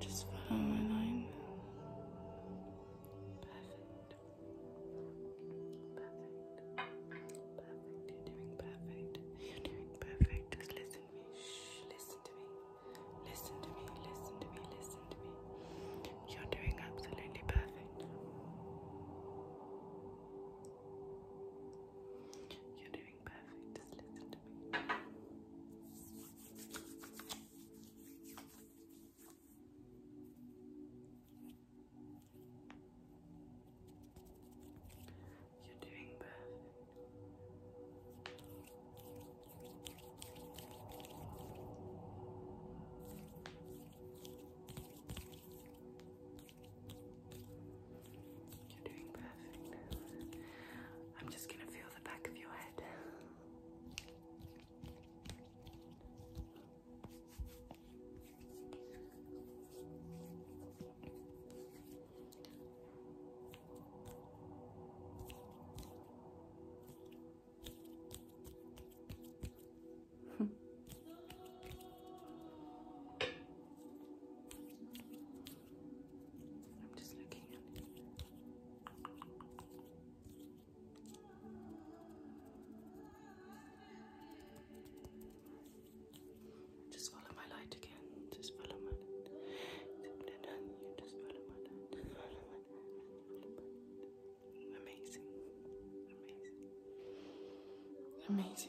Just follow my line. Perfect. Perfect. Perfect. You're doing perfect. You're doing perfect. Just listen to me. Shh. Listen to me. Listen to me. Listen to me. Listen to me. You're doing absolutely perfect. You're doing doing perfect. Just listen to me. You're doing perfect. You're doing perfect. You're doing perfect. I'm just going to feel the back of your head. just looking at it. follow my light again. Just follow my just follow my Amazing. Amazing. Amazing.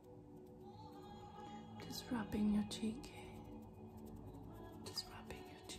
Just rubbing your cheek. Just rubbing your cheek.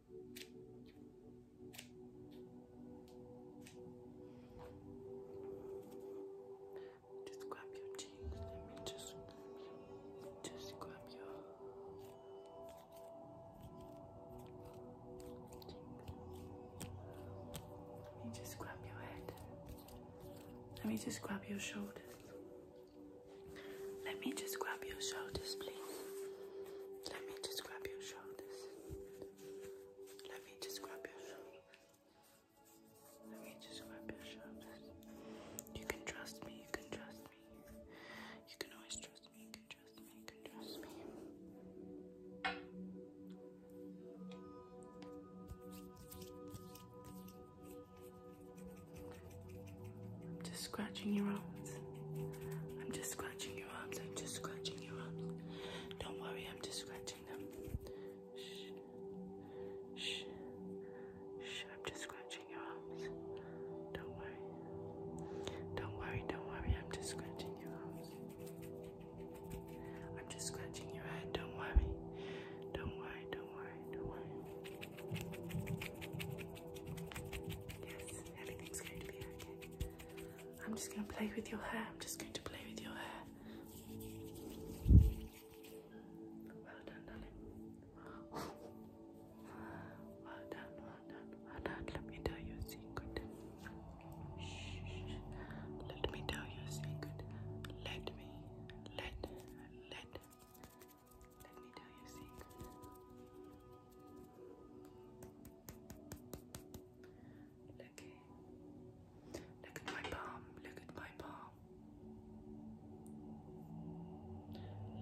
Just grab your cheeks. Let me just, just grab your cheeks. Let me just grab your head. Let me just grab your shoulders. Let me just grab your shoulders, please. Let me just grab your shoulders. Let me just grab your shoulders. Let me just grab your shoulders. You can trust me, you can trust me. You can always trust me, you can trust me, you can trust me. I'm just scratching your arms. I'm just scratching I'm just scratching your arms. Don't worry, I'm just scratching them. Shh. Shh. Shh. I'm just scratching your arms. Don't worry. Don't worry, don't worry. I'm just scratching your arms. I'm just scratching your head. Don't worry. Don't worry, don't worry, don't worry. Yes, everything's going to be okay. I'm just going to play with your hair. I'm just going to play with your hair. Well done, darling. Well done, well done, Let me tell you a secret. Shh. Let me tell you a secret. Let me, let, let, let me tell you a secret. Look Look at my palm. Look at my palm.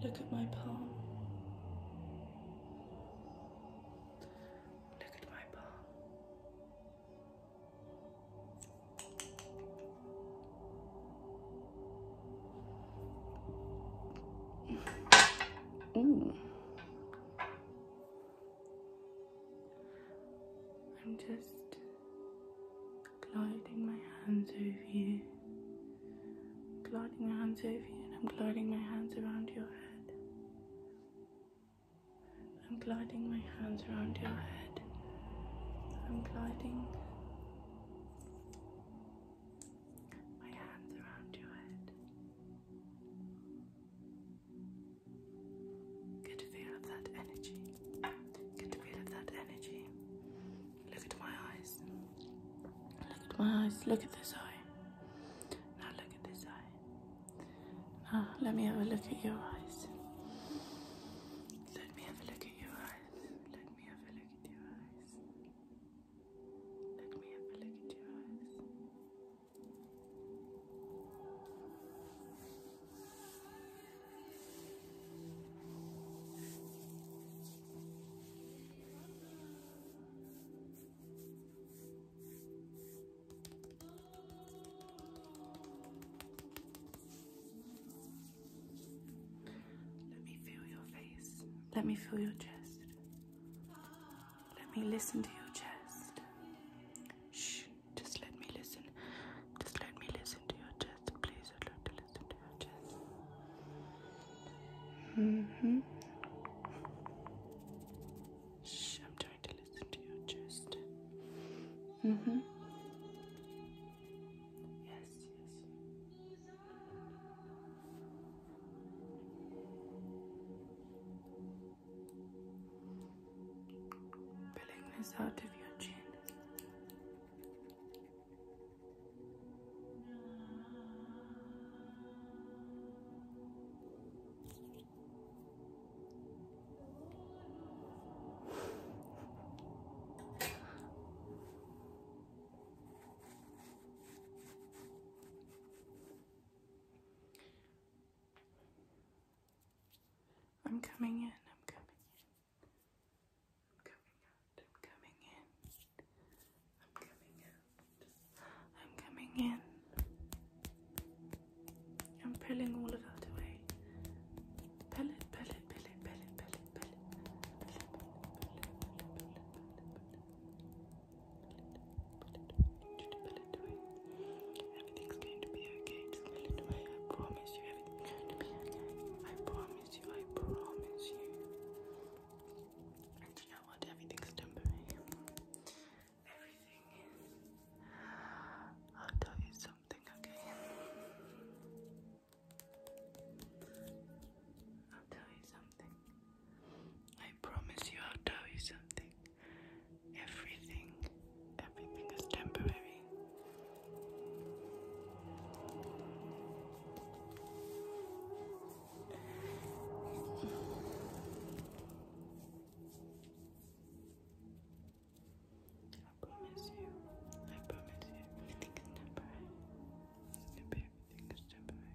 Look at my palm. Look at my palm. I'm just gliding my hands over you, gliding my hands over you, and I'm gliding my hands around your head. I'm gliding my hands around your head. I'm gliding my hands around your head. Get feel of that energy. Get feel of that energy. Look at my eyes. Look at my eyes. Look at this eye. Now look at this eye. Now let me have a look at your eyes. Let me have a look at your eyes. Let me have a look at your eyes. Let me have a look at your eyes. Let me feel your face. Let me feel your chest. Let me listen to your chest. Shh, just let me listen. Just let me listen to your chest, please. I'd listen to your chest. hmm. Shh, I'm trying to listen to your chest. hmm. Yes, yes. Pulling this out of your chin. I'm coming in, I'm coming in. I'm coming out, I'm coming in. I'm coming out. I'm coming in. I'm pulling all of that away. Pull it, pull it, pull it, pull it, pull it, pull it, Everything's going to be okay. I promise you, everything's going to be okay. I promise you, I promise you. And you know what? Everything's temporary. Everything is. I'll tell you something, okay? I'll tell you something. I promise you I'll tell you something. Everything, everything is temporary. I promise you, I promise you, everything is temporary.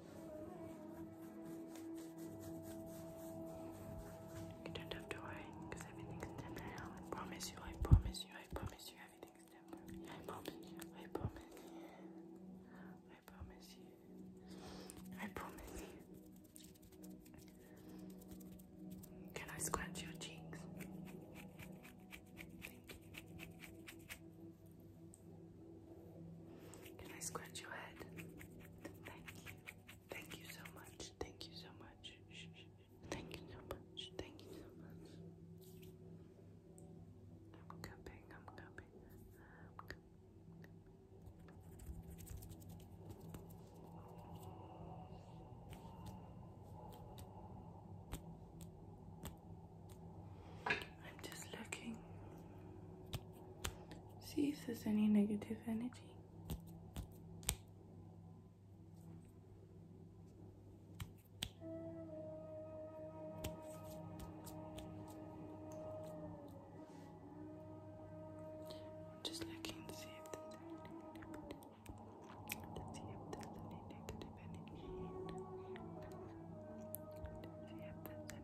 You because everything's temporary. promise you, I promise you, I promise you, everything's temporary. I promise you, I promise I promise you, I promise Can I scratch your cheeks? Can I scratch your head? Thank you. Thank you so much. Thank you so much. Thank you so much. Thank you I'm cupping. I'm cupping. I'm just looking. See if there's any negative energy. just looking to see if there's any negative energy. see if there's any negative energy. To see if there's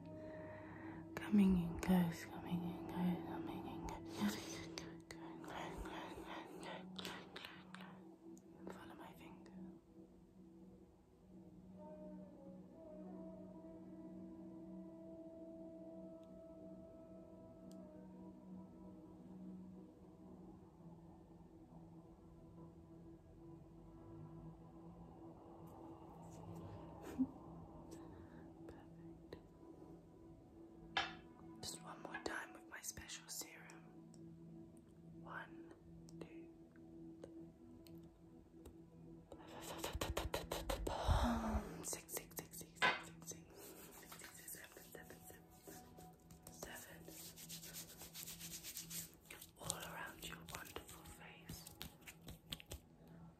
Coming in, guys. Coming in, guys. Coming in, guys. Follow my finger. Perfect. Just one more time with my special serum. One, two, six, six, six, six, six, six, six, six, seven, seven, seven, seven. All around your wonderful face.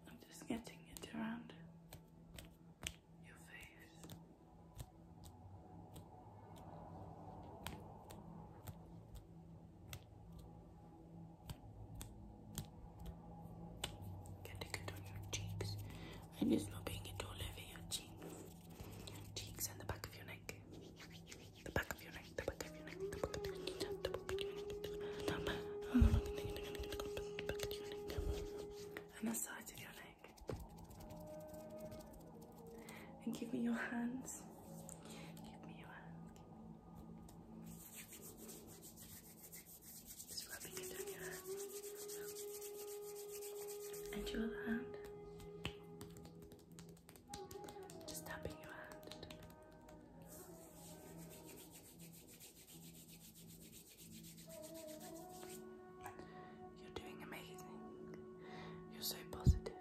I'm just getting it around your face. Getting it on your cheeks. And it's not being it all over your cheeks. cheeks and the back of your neck. The back of your neck, the back of your neck, the back of your neck, and the sides of your leg, And give me your hands. Give me your hands. Just rubbing it on your hands. And your other hand. Just tapping your hand. You're doing amazing. You're so positive.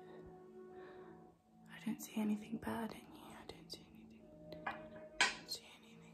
I don't see anything bad in you. I don't see anything. I don't see anything.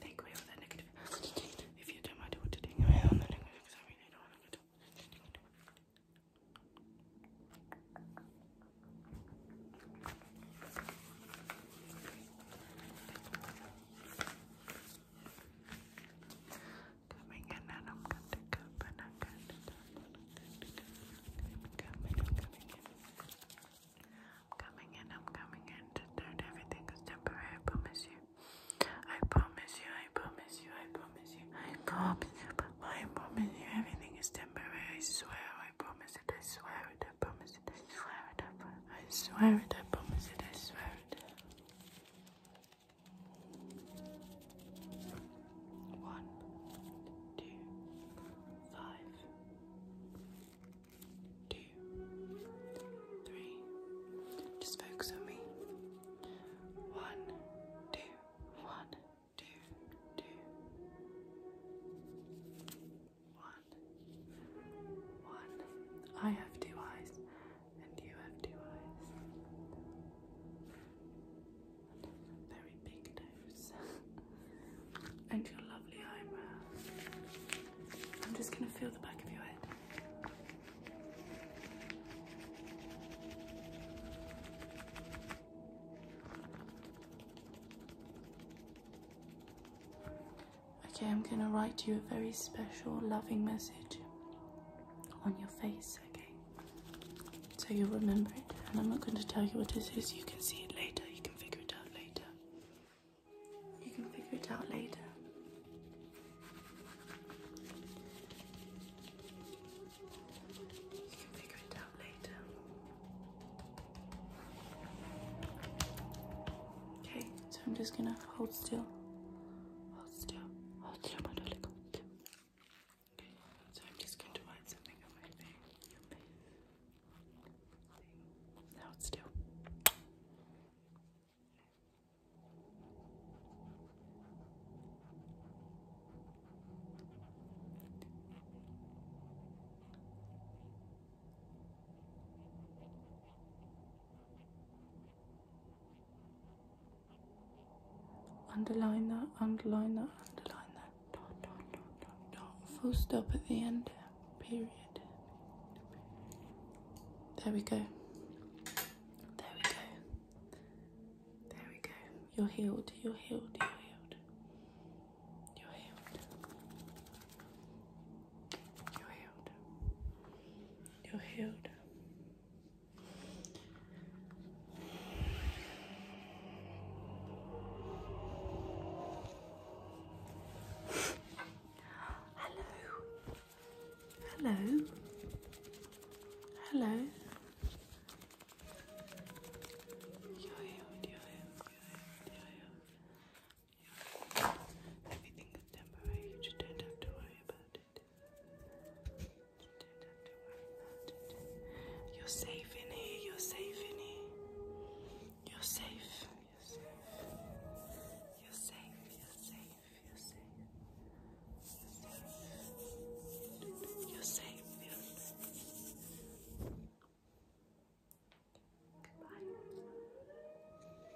Take away all the negative. If you don't mind, I want to take away all the negative because Coming in and I'm going to come and I'm going to come and I'm going to come and I'm coming in. I'm coming in, I'm coming in to turn everything is temporary, I promise you. I promise you, I promise you, I promise you, I promise you, I promise you, everything is temporary, I swear, I promise it, I swear it, I promise it, I swear it, I promise it, I swear it, I promise it, I swear it. I swear it. One, two, five, two, three. Just focus on me. One, two, one, two, two. One, one. I have two eyes and you have two eyes. Very big nose. and your lovely eyebrows. I'm just going to feel the back of your head. Okay, I'm gonna write you a very special, loving message on your face, okay? So you'll remember it. And I'm not going to tell you what this is. You can see it later. You can figure it out later. You can figure it out later. You can figure it out later. Okay, so I'm just going to hold still so I'm just going to wind something on my thing. Now it's still. Okay, Underline that, underline that, underline that. Dot, dot, dot, dot, dot. Full stop at the end. Period. There we go. There we go. There we go. You're healed. You're healed. You're healed. You're healed. You're healed. You're healed. Hello. Hello. Hello. You're healed, you're healed, you're healed, Everything is temporary. You just don't have to worry about it. You don't have to worry about it. You're safe in here. You're safe in here. You're safe. You're safe. You're safe. You're safe. You're safe. You're safe. You're safe. You're safe. You're safe. Goodbye.